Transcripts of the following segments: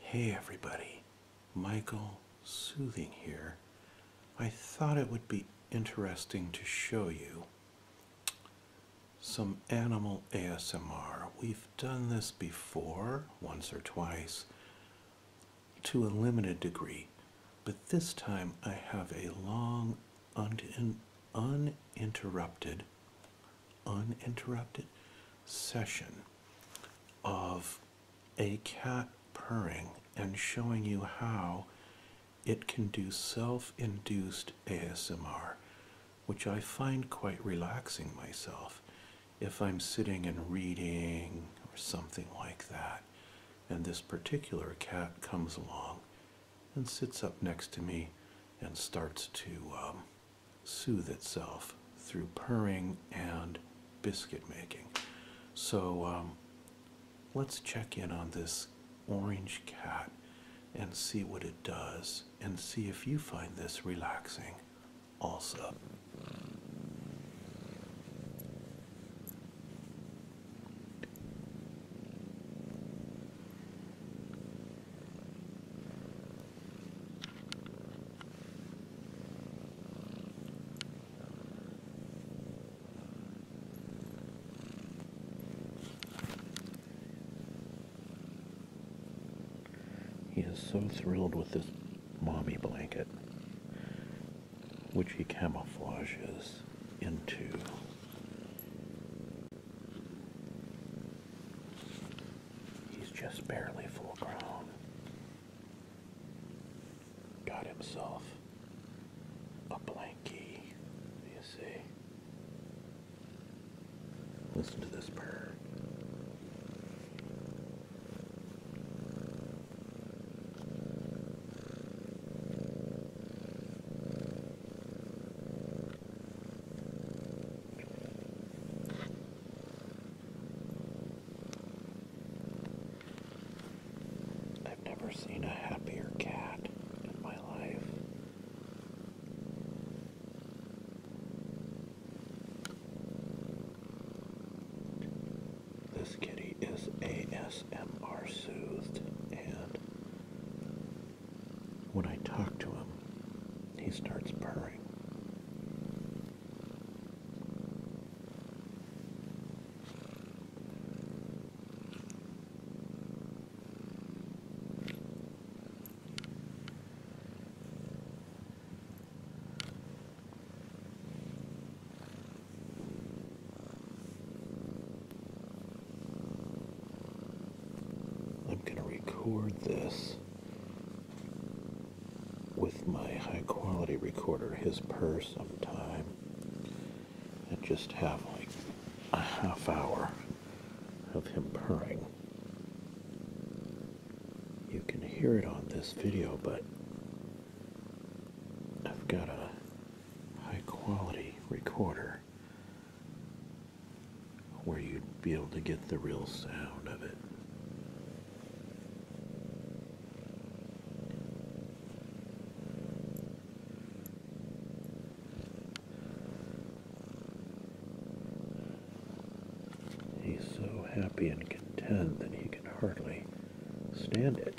Hey everybody, Michael Soothing here. I thought it would be interesting to show you some animal ASMR. We've done this before, once or twice, to a limited degree, but this time I have a long un uninterrupted, uninterrupted session of a cat purring and showing you how it can do self-induced ASMR, which I find quite relaxing myself if I'm sitting and reading or something like that. And this particular cat comes along and sits up next to me and starts to um, soothe itself through purring and biscuit making. So um, let's check in on this orange cat and see what it does and see if you find this relaxing also. He is so thrilled with this mommy blanket, which he camouflages into. He's just barely full grown. Got himself a blankie, you see. Listen to this purr. I've never seen a happier cat in my life. This kitty is ASMR soothed and when I talk to him, he starts purring. I'm going to record this with my high quality recorder, his purr, sometime, and just have like a half hour of him purring. You can hear it on this video, but I've got a high quality recorder where you'd be able to get the real sound of it. He's so happy and content that he can hardly stand it.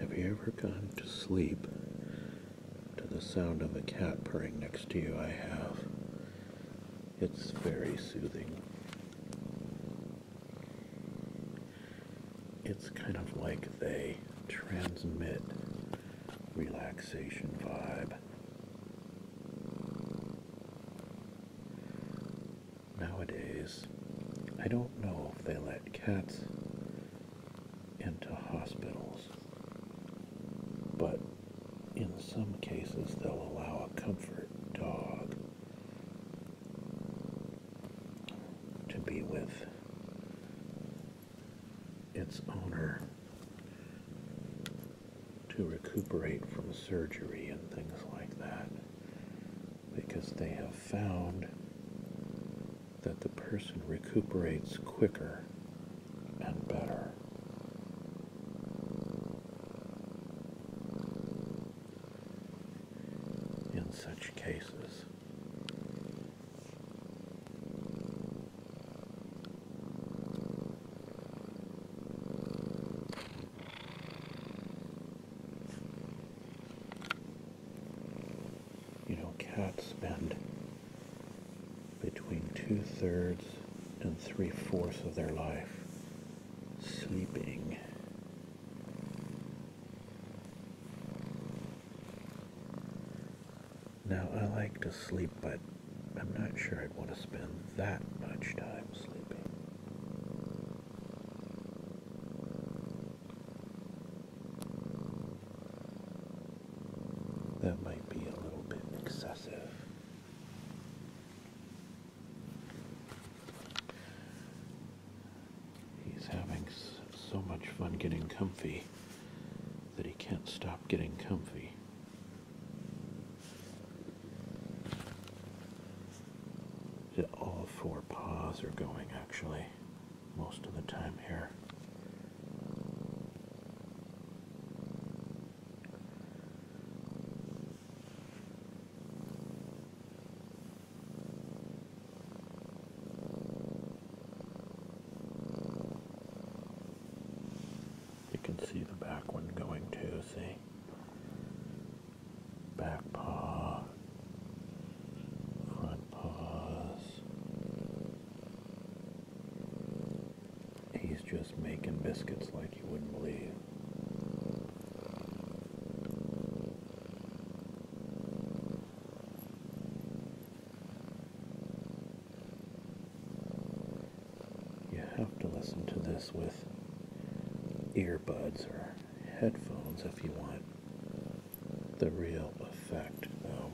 Have you ever gone to sleep to the sound of a cat purring next to you? I have. It's very soothing. It's kind of like they transmit relaxation vibe. Nowadays, I don't know if they let cats into hospitals, but in some cases, they'll allow a comfort dog to be with its owner to recuperate from surgery and things like that because they have found that the person recuperates quicker and better. In such cases, you know, cats spend between two thirds and three fourths of their life sleeping. Now, I like to sleep, but I'm not sure I'd want to spend that much time sleeping. That might be a little bit excessive. He's having so much fun getting comfy that he can't stop getting comfy. All four paws are going actually most of the time here. You can see the back one going too, see? Back paw, front paws. He's just making biscuits like you wouldn't believe. You have to listen to this with earbuds or headphones if you want the real effect, though.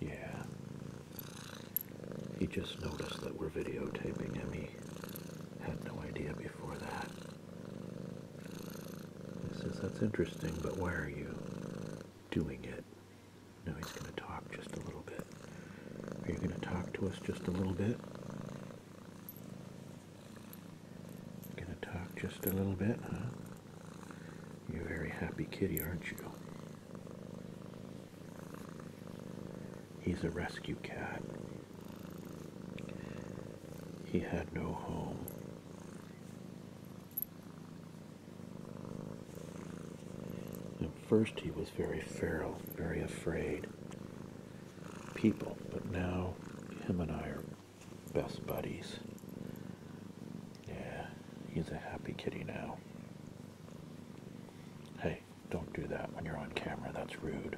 Yeah. He just noticed that we're videotaping him. He had no idea before that. He says, That's interesting, but why are you doing it. Now he's going to talk just a little bit. Are you going to talk to us just a little bit? Going to talk just a little bit, huh? You're very happy kitty, aren't you? He's a rescue cat. He had no home. At first, he was very feral, very afraid people, but now him and I are best buddies. Yeah, he's a happy kitty now. Hey, don't do that when you're on camera, that's rude.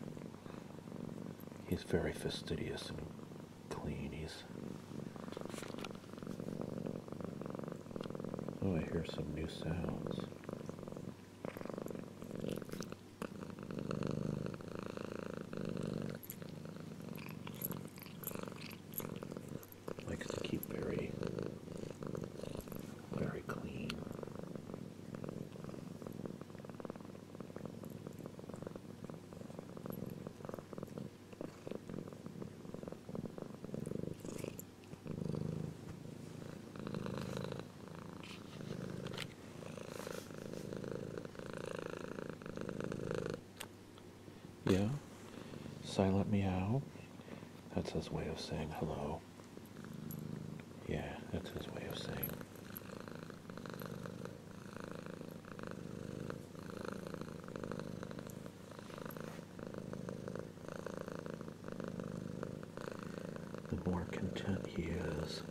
He's very fastidious cleanies. Oh, I hear some new sounds. Likes to keep very, very clean. Yeah, silent meow. That's his way of saying hello. Yeah, that's his way of saying the more content he is,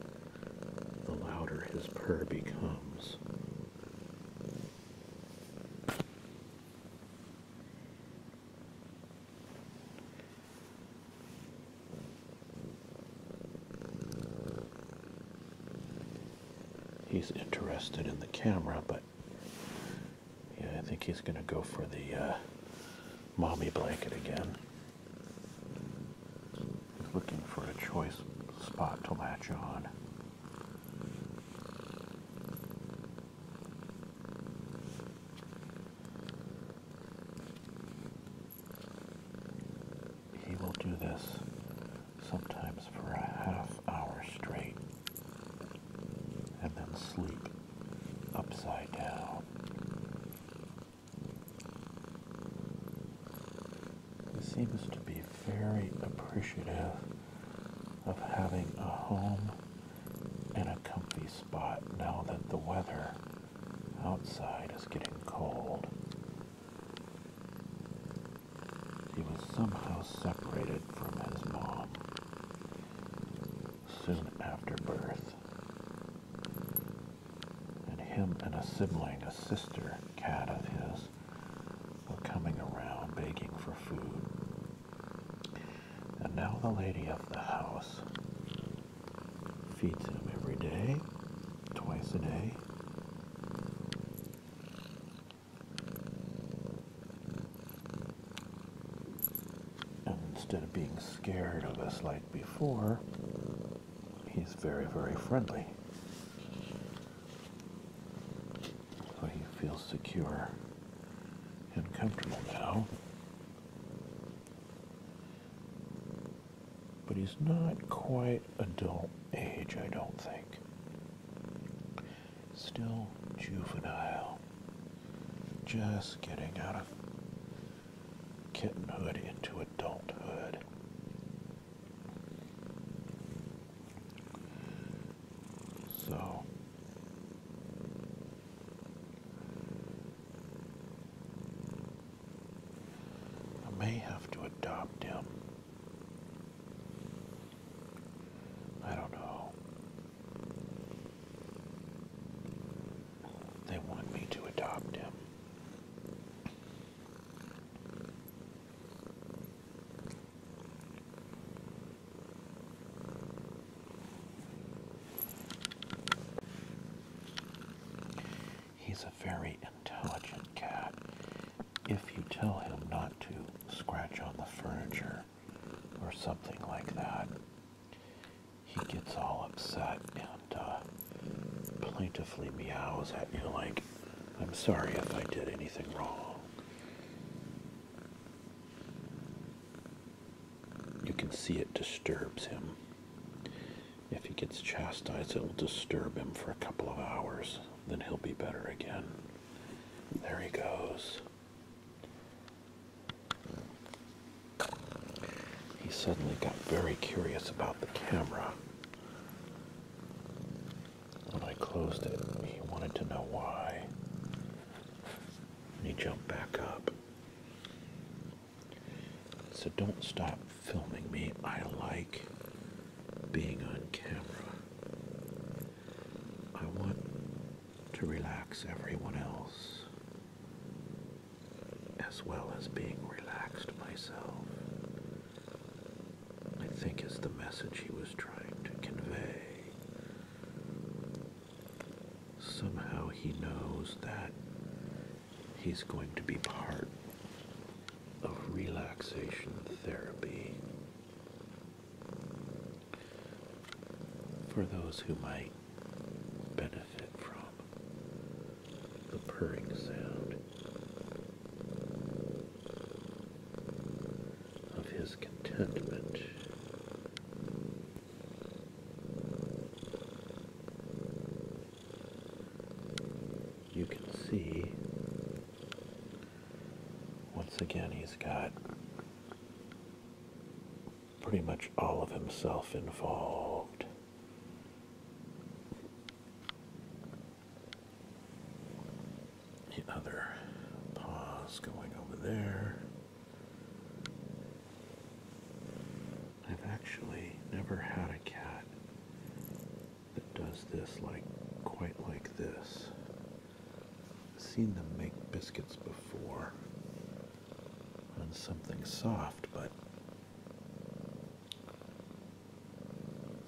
the louder his purr becomes he's interested in the camera, but yeah, I think he's going to go for the uh, mommy blanket again. He's looking for a choice spot to latch on. He will do this sometimes for a half hour straight and then sleep upside down. He seems to be very appreciative of having a home and a comfy spot now that the weather outside is getting cold he was somehow separated from his mom soon after birth. And him and a sibling, a sister cat of his, were coming around begging for food. And now the lady of the house feeds him every day, twice a day, instead of being scared of us like before, he's very, very friendly. So he feels secure and comfortable now but he's not quite adult age, I don't think. Still juvenile. Just getting out of kittenhood into adulthood. So. I may have to adopt him. I don't know. They want me to adopt him. He's a very intelligent cat if you tell him not to scratch on the furniture or something like that. He gets all upset and uh, plaintively meows at you like, I'm sorry if I did anything wrong. You can see it disturbs him. If he gets chastised, it will disturb him for a couple of hours. Then he'll be better again. There he goes. He suddenly got very curious about the camera. When I closed it, he wanted to know why. he jumped back up. So don't stop filming me. I like being on camera. I want to relax everyone else as well as being relaxed myself. I think is the message he was trying to convey. Somehow he knows that he's going to be part of relaxation therapy. For those who might benefit from the purring sound of his contentment. Uh, you can see once again he's got pretty much all of himself involved. The other paws going over there. I've actually never had a cat that does this like quite like this. I've seen them make biscuits before on something soft, but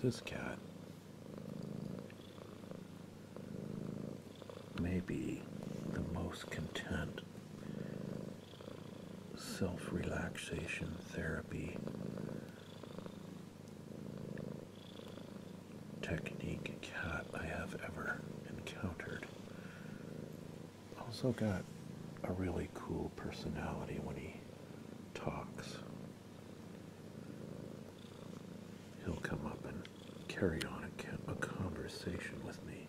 this cat may be the most content self relaxation therapy technique cat I have ever encountered. Also, got a really cool personality when he talks. He'll come up and carry on a, conversation with me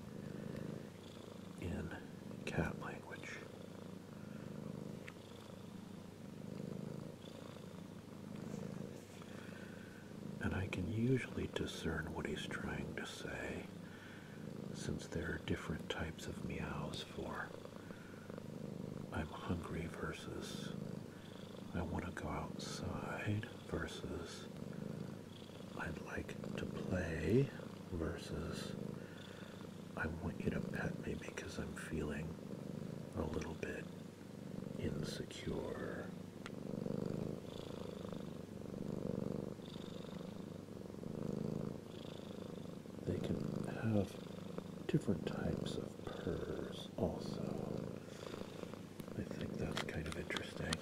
in cat language. And I can usually discern what he's trying to say since there are different types of meows for I'm hungry versus I want to go outside versus I'd like to play versus I want you to pet me because I'm feeling a little bit insecure. They can have different types of purrs also. I think that's kind of interesting.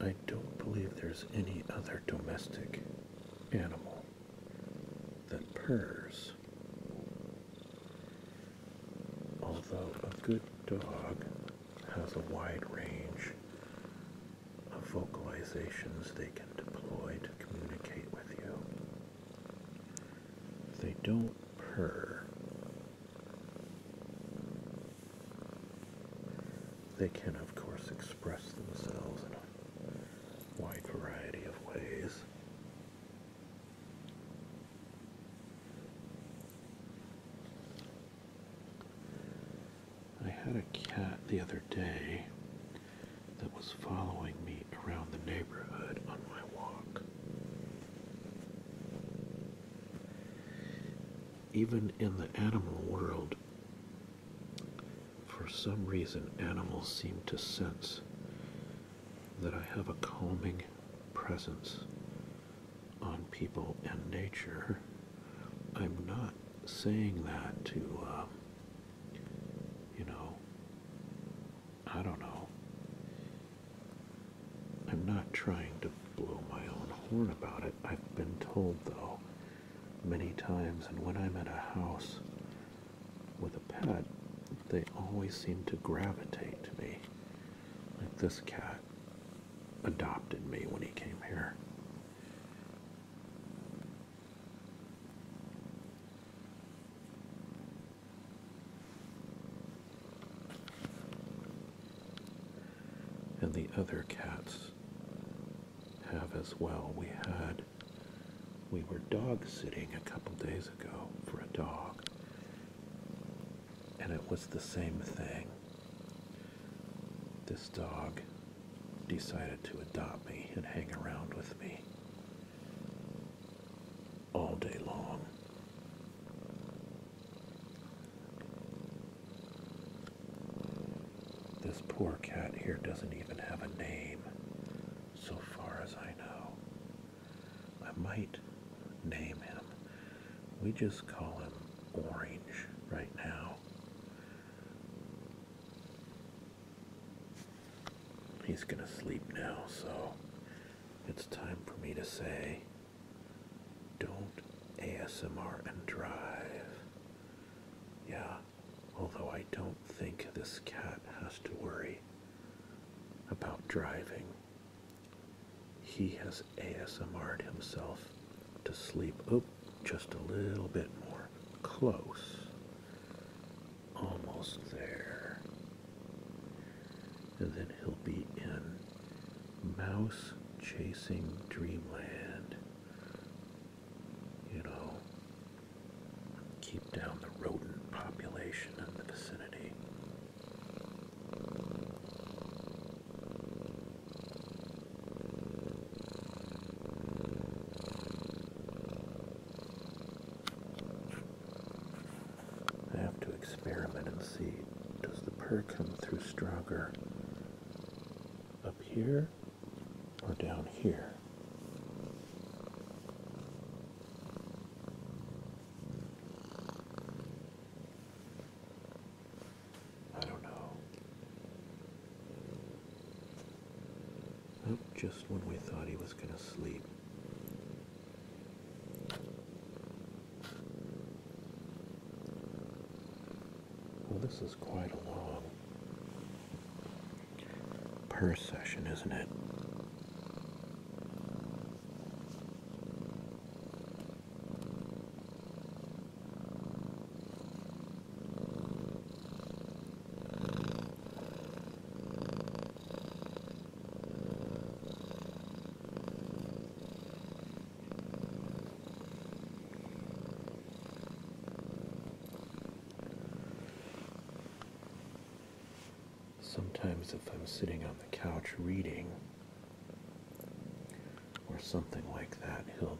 I don't believe there's any other domestic animal that purrs. Although a good dog has a wide range of vocalizations they can deploy to communicate with you. They don't purr. They can, of course, express themselves in a wide variety of ways. I had a cat the other day that was following me around the neighborhood on my walk. Even in the animal world, for some reason, animals seem to sense that I have a calming presence on people and nature. I'm not saying that to um, you know, I don't know. I'm not trying to blow my own horn about it. I've been told, though, many times, and when I'm at a house with a pet, they always seem to gravitate to me. Like this cat adopted me when he came here. And the other cats have as well. We had, we were dog sitting a couple days ago for a dog, and it was the same thing. This dog decided to adopt me and hang around with me all day long. This poor cat here doesn't even have a name, so far as I know. I might name him. We just call him Orange right now. He's gonna sleep now, so it's time for me to say don't ASMR and drive. Yeah, although I don't think this cat has to worry about driving. He has ASMR'd himself to sleep. Oh, just a little bit more. Close. Almost there. And then he'll be in Mouse Chasing Dreamland. You know, keep down the rodent population in the vicinity. I have to experiment and see does the purr come through stronger up here or down here? I don't know. just when we thought he was going to sleep. Well, this is quite a long per session, isn't it? Sometimes, if I'm sitting on the couch reading or something like that, he'll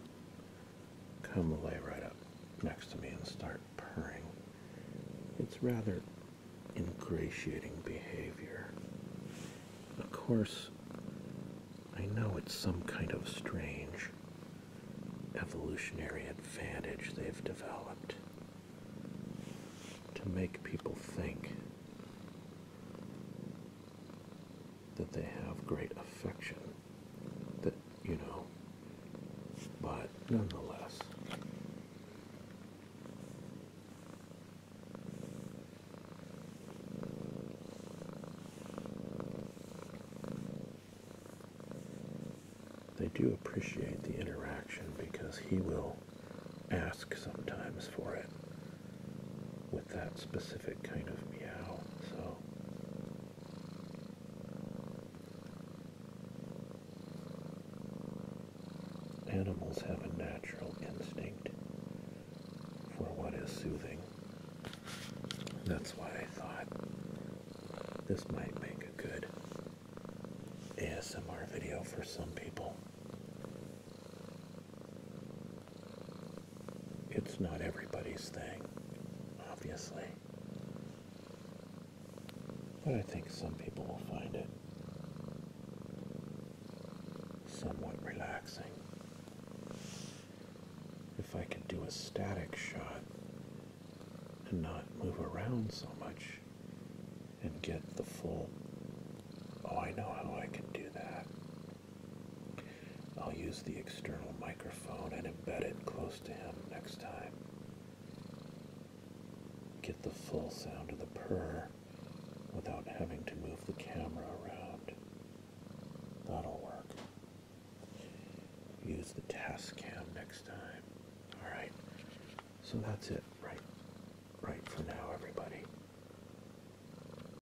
come lay right up next to me and start purring. It's rather ingratiating behavior. Of course, I know it's some kind of strange evolutionary advantage they've developed to make people think that they have great affection that you know, but nonetheless. They do appreciate the interaction because he will ask sometimes for it with that specific kind of meow. So animals have a natural instinct for what is soothing. That's why I thought this might make a good ASMR video for some people. It's not everybody's thing, obviously. But I think some people will find it somewhat relaxing. If I can do a static shot and not move around so much and get the full. Oh, I know how I can do that. I'll use the external microphone and embed it close to him next time. Get the full sound of the purr without having to move the camera around. That'll work. Use the task cam next time. Alright, so that's it right, right for now, everybody.